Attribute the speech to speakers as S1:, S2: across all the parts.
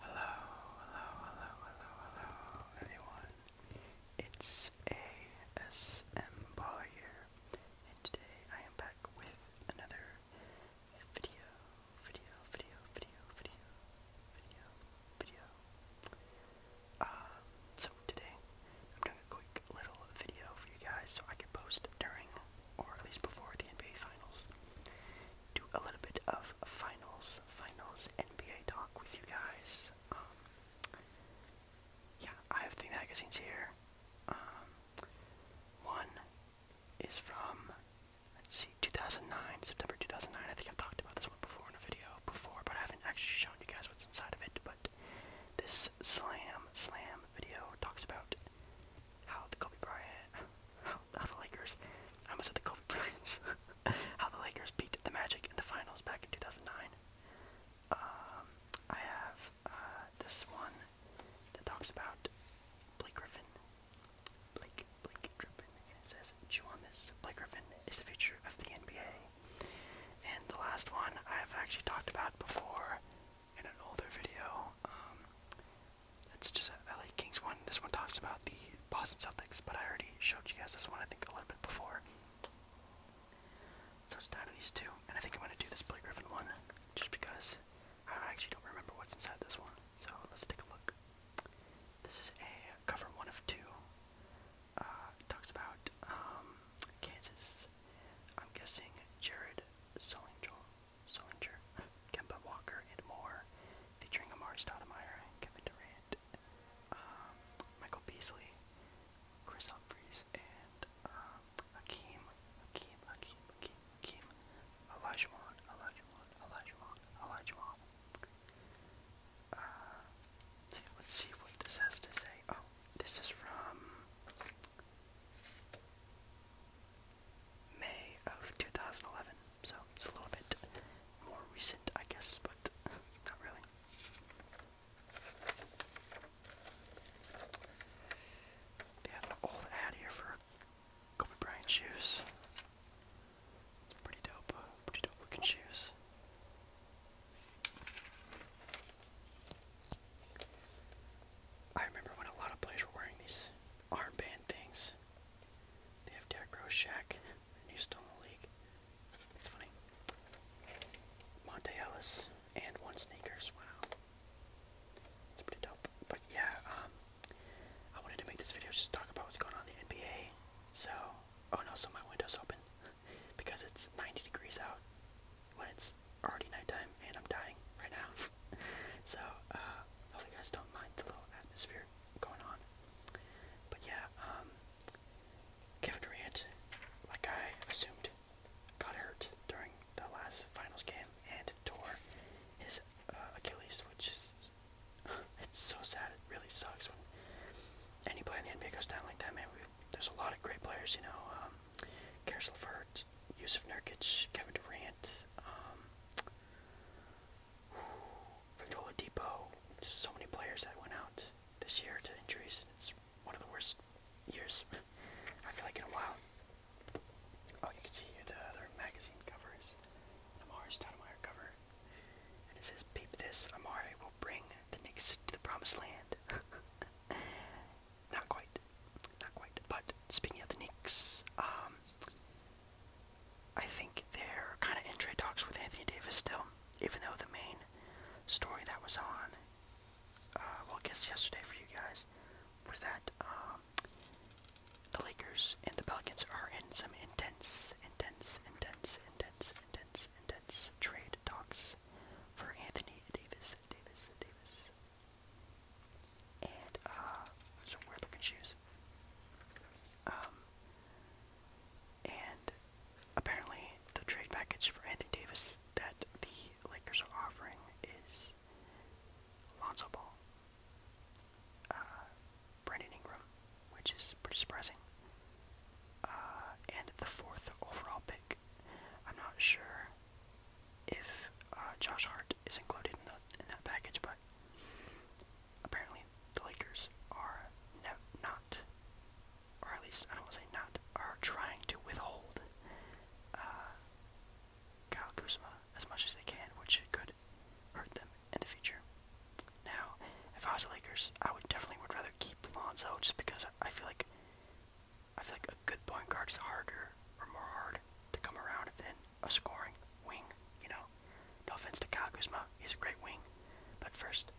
S1: Hello, hello, hello, hello, hello, everyone. It's ASM Paula and today I am back with another video, video, video, video, video, video, video. so today I'm doing a quick little video for you guys so I can post during, or at least before the NBA Finals do a little bit of finals, finals NBA talk with you guys. Um, yeah, I have three magazines here. Um, one is from, let's see, 2009, September 2009. I think I've talked about this one before in a video before, but I haven't actually shown you guys what's inside of it. But this Slam Slam video talks about how the Kobe Bryant, how, the Lakers, I almost at the Kobe Bryant's, how the Lakers beat the Magic in the finals back in 2009. Um, I have uh, this one that talks about Blake Griffin. Blake, Blake Griffin, and it says, chew on this, Blake Griffin is the future of the NBA. And the last one I've actually talked about before in an older video, um, it's just uh, a LA Kings one. This one talks about the Boston Celtics, but I already showed you guys this one, I think, a little bit before. So it's down to these two, and I think I'm going to do this Blake Griffin one, just because I actually don't remember what's inside this one. So let's take a look. This is a cover one of two. Uh, talks about um, Kansas. I'm guessing Jared Solinger. Solinger, Kemba Walker, and more, featuring Amari Stoudemire, Kevin Durant, um, Michael Beasley, Chris Humphries, and um, Hakeem, Hakeem, Hakeem, Hakeem, Hakeem, Olajuwon, Olajuwon, Olajuwon, Olajuwon. Uh, let's see what this has to say. Oh, this is from May of 2011, so it's a little bit more recent, I guess, but not really. They have an old ad here for Kobe Bryant shoes. It's pretty dope, pretty dope looking shoes. I remember when a lot of players were wearing these armband things. They have Derek Rose, Shaq, and he's still in the league. It's funny. Monte Ellis and one sneakers. Wow, it's pretty dope. But yeah, um, I wanted to make this video just talk about what's going on in the NBA. So, oh no, so my window's open because it's 90 degrees out when it's already nighttime and I'm dying right now. so, uh, hopefully you guys don't mind the little atmosphere going on. But yeah, um, Kevin Durant, like I assumed, got hurt during the last finals game and tore his uh, Achilles, which is, it's so sad. It really sucks when any player in the NBA goes down like that, man. We, there's a lot of great players, you know, um, Karis LeVert, Yusuf Nurkic, Kevin Durant, um, Victor Depot, just so many players that went out this year to injuries. It's one of the worst years, I feel like, in a while. Oh, you can see here the other magazine covers. is an Amari cover. And it says, Peep this, Amari will bring the Knicks to the promised land. Not quite. Not quite. But speaking of the Knicks, um, I think they're kind of in trade talks with Anthony Davis still, even though the main story that was on, uh, well, guess yesterday for you guys, was that um, the Lakers and the Pelicans are in some intense, intense, intense, intense, intense, intense trade talks for Anthony Davis, Davis, Davis, and uh, some weird looking shoes. Um, and apparently the trade package for Anthony Davis that the Lakers are offering is Lonzo Ball, uh, Brandon Ingram, which is pretty surprising, uh, and the fourth overall pick. I'm not sure if uh, Josh Hart is included in that package, but apparently the Lakers are not, or at least I don't want to say not, are trying to withhold uh, Kyle Kuzma as much as they can, which could hurt them in the future. Now, if I was the Lakers, I would definitely would rather keep Lonzo just because I feel like I feel like a good point guard is harder or more hard to come around than a scoring wing, you know? No offense to Kyle he's a great wing. But first,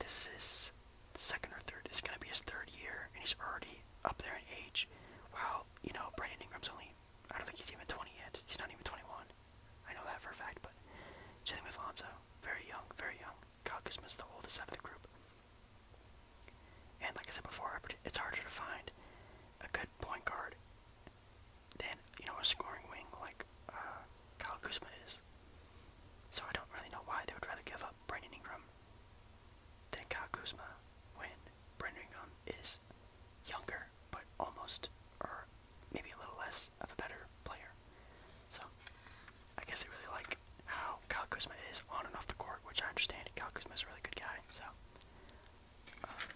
S1: this is second or third. It's gonna be his third year, and he's already up there in age. Wow, you know, Brandon Ingram's only, I don't think he's even 20 yet. He's not even 21. I know that for a fact, but same with Very young, very young. Kyle the oldest out of the group. And like I said before, it's harder to find a good point guard than you know a scoring wing like uh, Kyle Kuzma is. So I don't really know why they would rather give up Brandon Ingram than Kyle Kuzma when Brandon Ingram is younger, but almost or maybe a little less of a better player. So I guess I really like how Cal Kuzma is on and off the court, which I understand. Cal Kuzma is a really good guy, so um,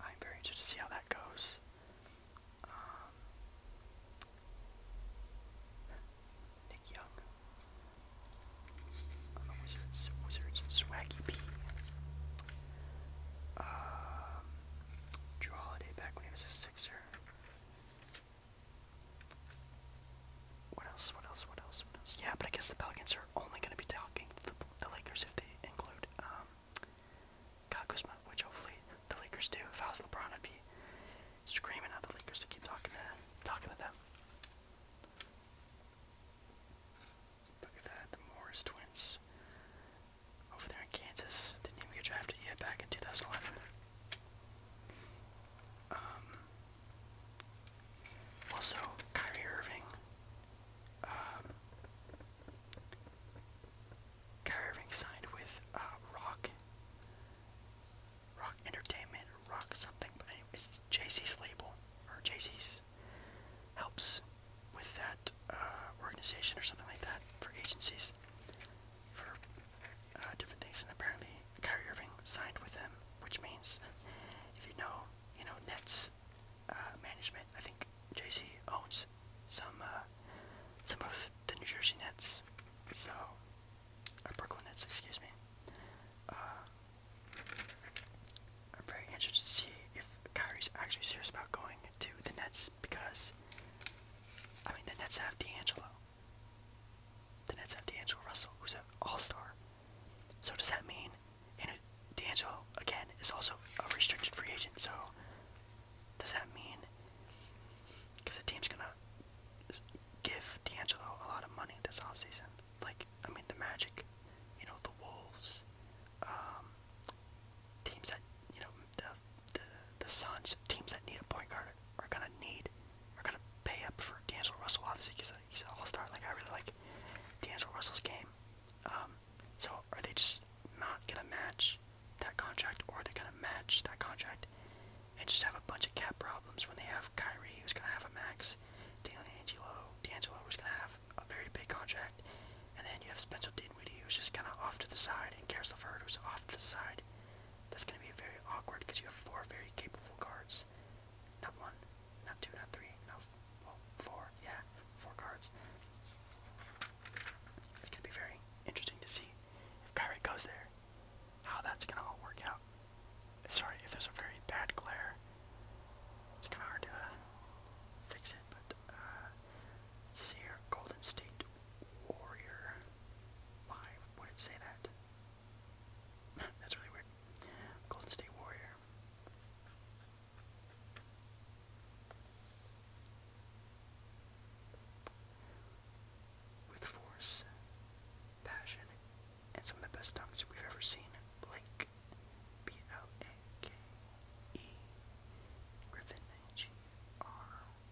S1: I'm very interested to see how that goes. Um, Nick Young, uh, Wizards, Wizards, Swaggy P. Um, Drew Holiday back when he was a Sixer. What else? What else? What else? Yeah, but I guess the Pelicans are only going to be talking to the, Lakers if they include um, Kyle which hopefully the Lakers do. If I was LeBron, I'd be screaming at the Lakers to keep talking to them, talking to them. Look at that, the Morris twins over there in Kansas. Didn't even get drafted yet back in 2011. Um, also, Kyrie Irving. Um, Kyrie Irving signed with uh, Rock, Rock Entertainment, Rock something, but anyway, it's JC's label, or JC's helps with that uh, organization or something like that for agencies for uh, different things, and apparently Kyrie Irving signed with them, which means if you know, you know Nets uh, management, I think Jay-Z owns some uh, some of the New Jersey Nets, so Brooklyn Nets, excuse me. I'm very interested to see if Kyrie's actually serious about going to the Nets because, I mean, the Nets have D'Angelo. The Nets have D'Angelo Russell, who's an all-star. So does that mean and D'Angelo again is also a restricted free agent, so does that mean because the team's gonna give D'Angelo a lot of money this offseason? Like, I mean the Magic, you know, the Wolves, um teams that you know the the the Suns teams that need a point guard are gonna need are gonna pay up for D'Angelo Russell. Obviously, he's he's an all-star. Like I really like D'Angelo Russell's game. Um, so are they just not gonna match that contract, or are they gonna match that contract and just have a bunch of cap problems when they have Kyrie, who's gonna have a max, D'Angelo, D'Angelo, who's gonna have a very big contract, and then you have Spencer Dinwiddie, who's just kind of off to the side, and Karis Ford who's off to the side. That's going to be very awkward because you have four very capable guards. Not one, not two, not three, not well, four. Yeah, four cards. It's going to be very interesting to see if Kyrie goes there, how that's going to all work out. Sorry if there's a very bad glare. It's kind of hard to uh, fix it, but uh, this is here Golden State warrior. Why would say that? That's really weird. Golden State Warrior. With force, passion, and some of the best dunks we've ever seen, Blake, B L A K E, Griffin, G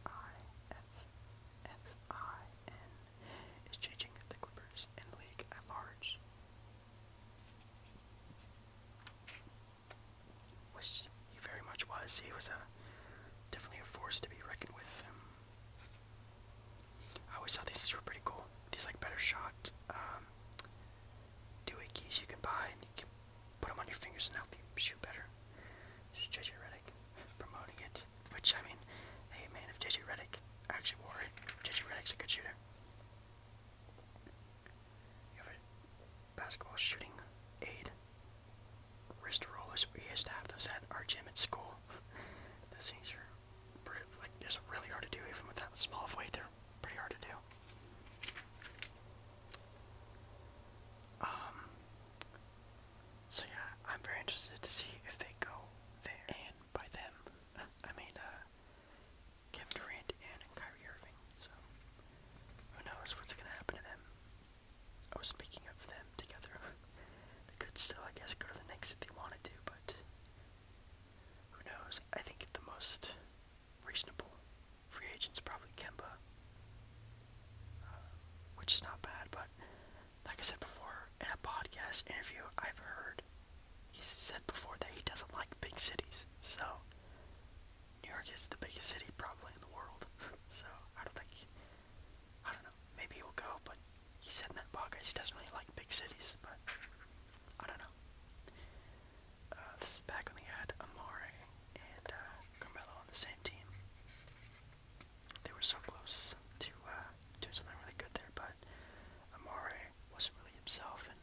S1: R-I-F-F-I-N is changing the Clippers and league at large. Which he very much was. He was a definitely a force to be reckoned with. I always thought these things were pretty cool. These like better shot um doohickeys you can buy Put them on your fingers and help you shoot better. JJ Reddick promoting it. Which, I mean, hey man, if JJ Reddick actually wore it, JJ Reddick's a good shooter. You have a basketball shooting aid. Wrist rollers, we used to have those at our gym at school. those things are pretty, like, they really hard to do, even with that small of weight, they're pretty hard to do. Um, so yeah, I'm very interested to see if they go there. And by them, I mean uh, Kevin Durant and Kyrie Irving. So who knows what's gonna happen to them? Oh, speaking of them together, they could still, I guess, go to the Knicks if they wanted to, but who knows? I think the most reasonable. Free agents probably Kemba, uh, which is not bad. But like I said before in a podcast interview, I've heard he said before that he doesn't like big cities. So New York is the biggest city probably in the world. so I don't think I don't know. Maybe he'll go, but he said in that podcast he doesn't really like big cities. But I don't know. Uh, back when they had Amare and uh, Carmelo on the same team. They were so close to uh, doing something really good there, but Amare wasn't really himself, and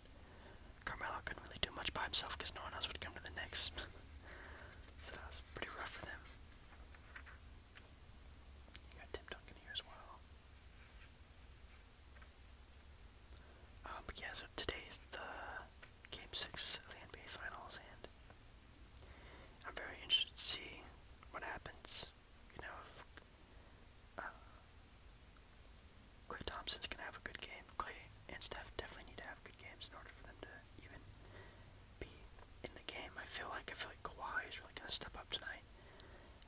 S1: Carmelo couldn't really do much by himself because no one else would come to the Knicks. so that was pretty rough for them. got Tim Duncan here as well. Uh, yeah, so today is the Game 6 of NBA Finals, and I'm very interested to see what happens, you know, if uh, Thompson's going to have a good game. Clay and Steph definitely need to have good games in order for them to even be in the game. I feel like I feel like Kawhi is really going to step up tonight,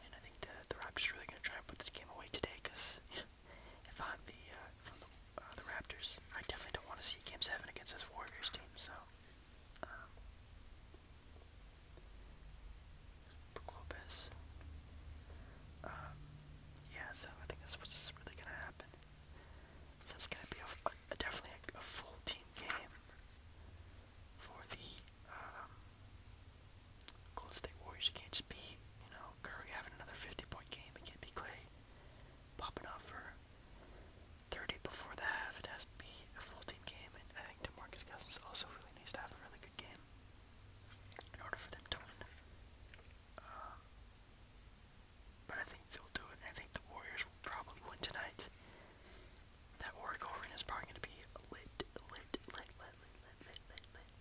S1: and I think the, the Raptors are really going to try and put this game away today because... if I'm the uh, the, Raptors, I definitely don't want to see Game Seven against this Warriors team. So, um, um, yeah, so I think that's what's really gonna happen. So it's gonna be a, definitely a, full team game for the um, Golden State Warriors. You can't just be you know, Curry having another 50 point game again be Clay popping off for 30 before the half. It has to be a full team game, and I think DeMarcus Cousins also really needs to have a really good game in order for them to win. Um, but I think they'll do it. I think the Warriors will probably win tonight. That Oracle Arena is probably going to be lit, lit, lit, lit, lit, lit, lit, lit.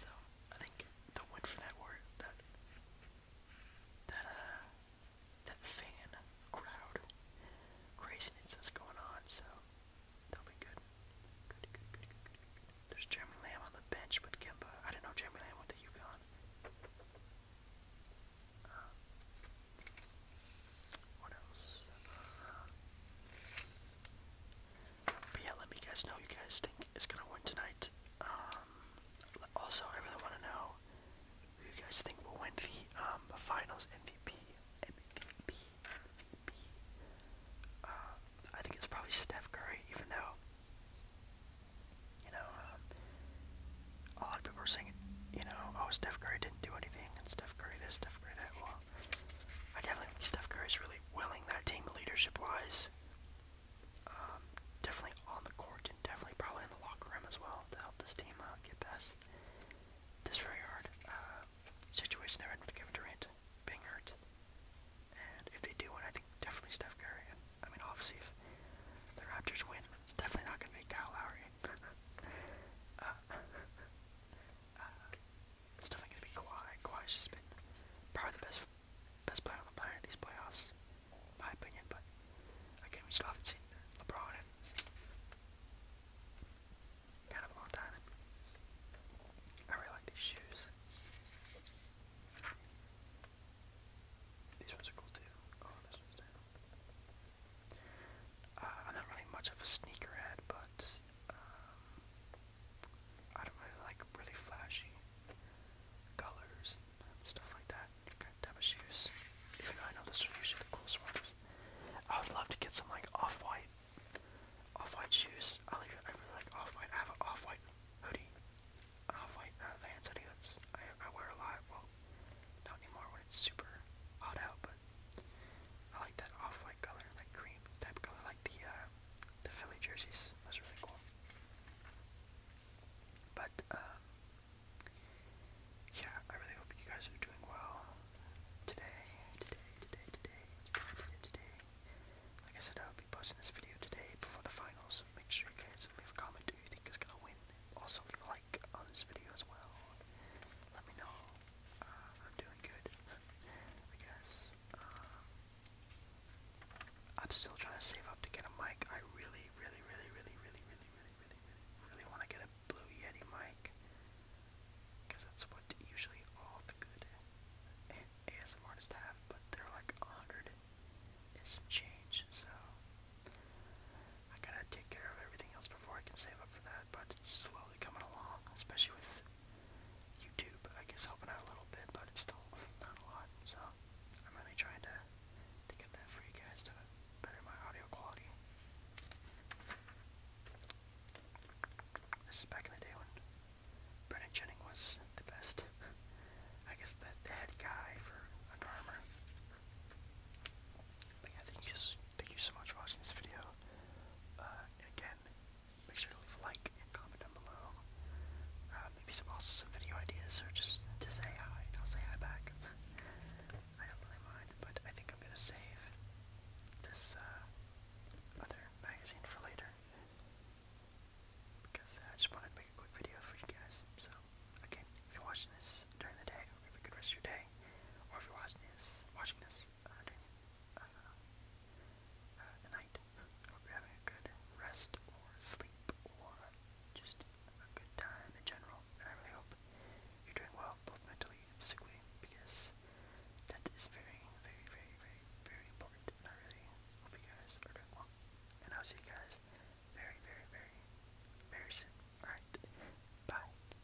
S1: So, I think the word for that word that that uh that fan crowd craziness that's going on, so that'll be good. Good, good, good, good, good, There's Jeremy Lamb on the bench with Kimba. I didn't know Jeremy Lamb went to UConn. Uh, what else? Uh, but yeah, let me guys know what you guys think is gonna win tonight. Um, also, I really want to know who you guys think will win the um, finals MVP. MVP. MVP. Uh, I think it's probably Steph Curry, even though you know um, a lot of people are saying, you know, oh Steph Curry didn't do anything, and Steph Curry this, Steph Curry that. Well, I definitely Steph Curry is really willing that team leadership-wise. Um, definitely on the court and definitely probably in the locker room as well to help this team uh, get past this very hard uh, situation they're in with Kevin Durant being hurt. And if they do win, I think definitely Steph Curry. And, I mean, obviously, if the Raptors win, it's definitely not going to be Kyle Lowry. Uh, uh, it's definitely gonna be Kawhi. Kawhi's just been probably the best best player on the planet these playoffs, in my opinion. But again, we still haven't seen LeBron in kind of a long time. I really like these shoes. These ones are cool too. Oh, this one's down. Uh, I'm not really much of a sneakerhead, but um, I don't really like really flashy colors stuff like that. Kind of type shoes. I know those are usually the coolest I would love to get some like off-white, off-white shoes. I like I really like off-white. I have an off-white hoodie, off-white uh, Vans hoodie that's I wear a lot. Well, not anymore when it's super hot out, but I like that off-white color, like cream type color, like the uh, the Philly jerseys. That's really cool. But um, yeah, I really hope you guys are doing well today, today, today, today, today, today, Like I said, I'll be posting this video today before the finals. Make sure you guys leave a comment Do you think is gonna win. Also, leave a like on this video as well. Let me know uh, I'm doing good, I guess. Um, I'm still trying to save up to get a mic. I really, really, really, really, really, really, really, really, really, really want to get a Blue Yeti mic. Because that's what usually all the good ASM artists have, but they're like a hundred and some change, so I gotta take care of everything else before I can save up for that, but it's slowly coming along, especially with YouTube, I guess, helping out a little bit, but it's still not a lot. So I'm really trying to to get that for you guys to better my audio quality. This is back in the day when Brennan Jennings was the best. I guess that the head guy for Under Armour. But I think you Thank you so much for watching this video. Uh, again, make sure to leave a like and comment down below. Uh, maybe some also video ideas or just to say hi. I'll say hi back. I don't really mind, but I think I'm gonna save this uh, other magazine for later because I just wanted to make a quick video for you guys. So again, if you're watching this during the day, have a good rest of your day. Or if you're watching this, watching this uh, uh, night. I you're having a good rest or sleep or just a good time in general. I really hope you're doing well, both mentally and physically, because that is very, very, very, very, very important. I really hope you guys are doing well. And I'll see you guys very, very, very, very soon. Alright, bye.